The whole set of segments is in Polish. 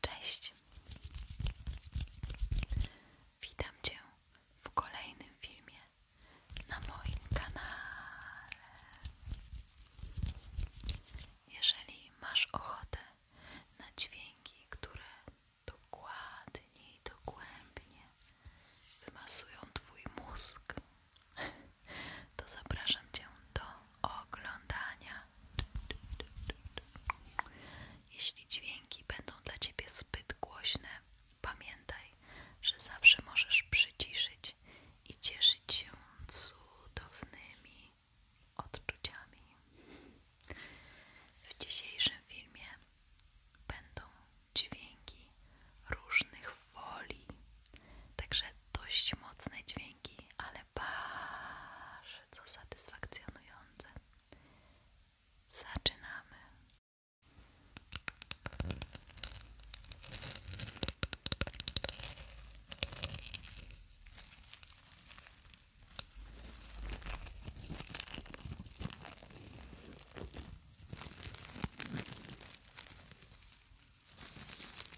Cześć! Witam Cię w kolejnym filmie na moim kanale. Jeżeli masz ochotę na dźwięki, które dokładnie i dogłębnie wymasują Twój mózg, to zapraszam Cię do oglądania. Jeśli dźwięki będą dla Ciebie zbyt głośne, pamiętaj, że zawsze możesz przyciszyć i cieszyć się cudownymi odczuciami. W dzisiejszym filmie będą dźwięki różnych woli, także dość mocne dźwięki, ale bardzo satysfakcjonujące. Zaczynamy.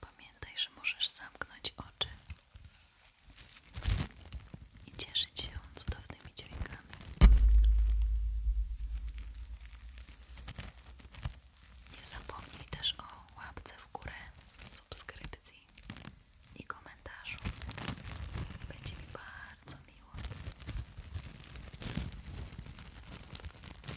Pamiętaj, że możesz zamknąć oczy i cieszyć się cudownymi dźwiękami. Nie zapomnij też o łapce w górę, subskrypcji i komentarzu. Będzie mi bardzo miło.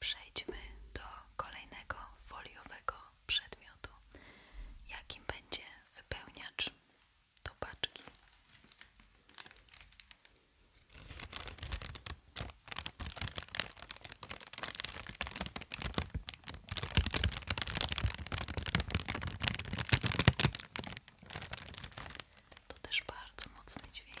Przejdźmy do kolejnego foliowego przedmiotu, jakim będzie wypełniacz do To też bardzo mocny dźwięk.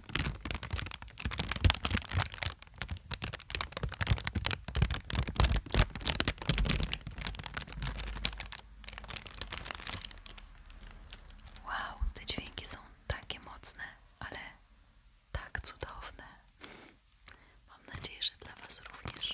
Wow, te dźwięki są takie mocne, ale tak cudowne. Mam nadzieję, że dla Was również.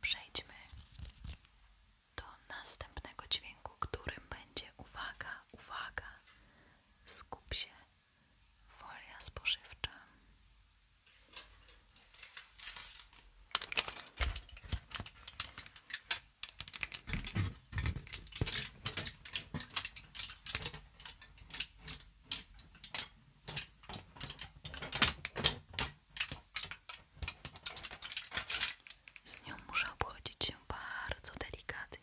Przejdźmy do następnego dźwięku, którym będzie uwaga, uwaga, skup się, folia spożywcza. Z nią muszę obchodzić się bardzo delikatnie.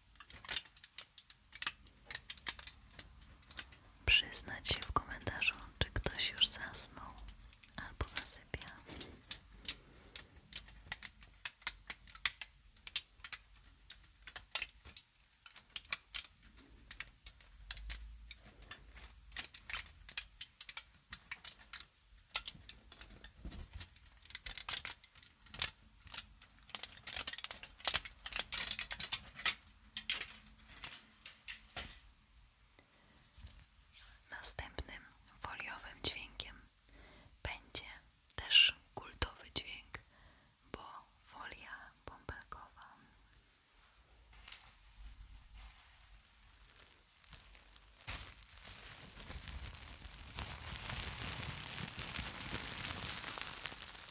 Przyznać się w komentarzu, czy ktoś już zasnął albo zasypia. Następnym foliowym dźwiękiem będzie też kultowy dźwięk, bo folia bąbelkowa.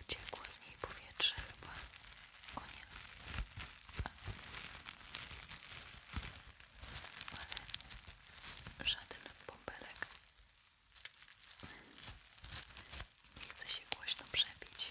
Uciekło z niej powietrze chyba. O nie. Ale żaden bąbelek nie chce się głośno przebić.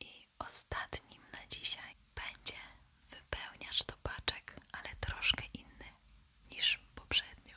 I ostatnim na dzisiaj będzie wypełniacz do paczek, ale troszkę inny niż poprzednio.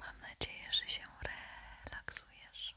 Mam nadzieję, że się relaksujesz.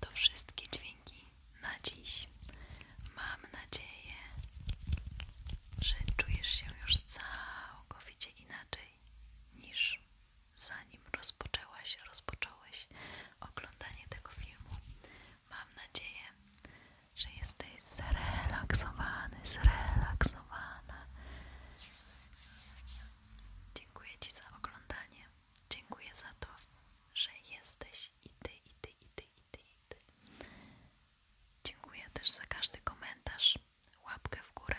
To wszystkie dźwięki na dziś. Mam nadzieję, że czujesz się już całkowicie inaczej niż zanim rozpoczęłaś, rozpocząłeś oglądanie tego filmu. Mam nadzieję, że jesteś zrelaksowany, zrelaksowana. Dziękuję Ci za oglądanie. Dziękuję za to, że jesteś i ty, i ty, i ty, i ty, Dziękuję też za każdy komentarz, łapkę w górę,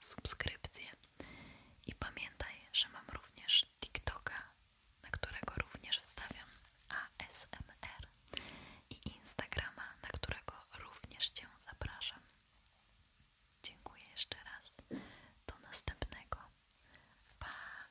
subskrypcję i pamiętaj, że mam również TikToka, na którego również stawiam ASMR i Instagrama, na którego również Cię zapraszam. Dziękuję jeszcze raz. Do następnego. Pa!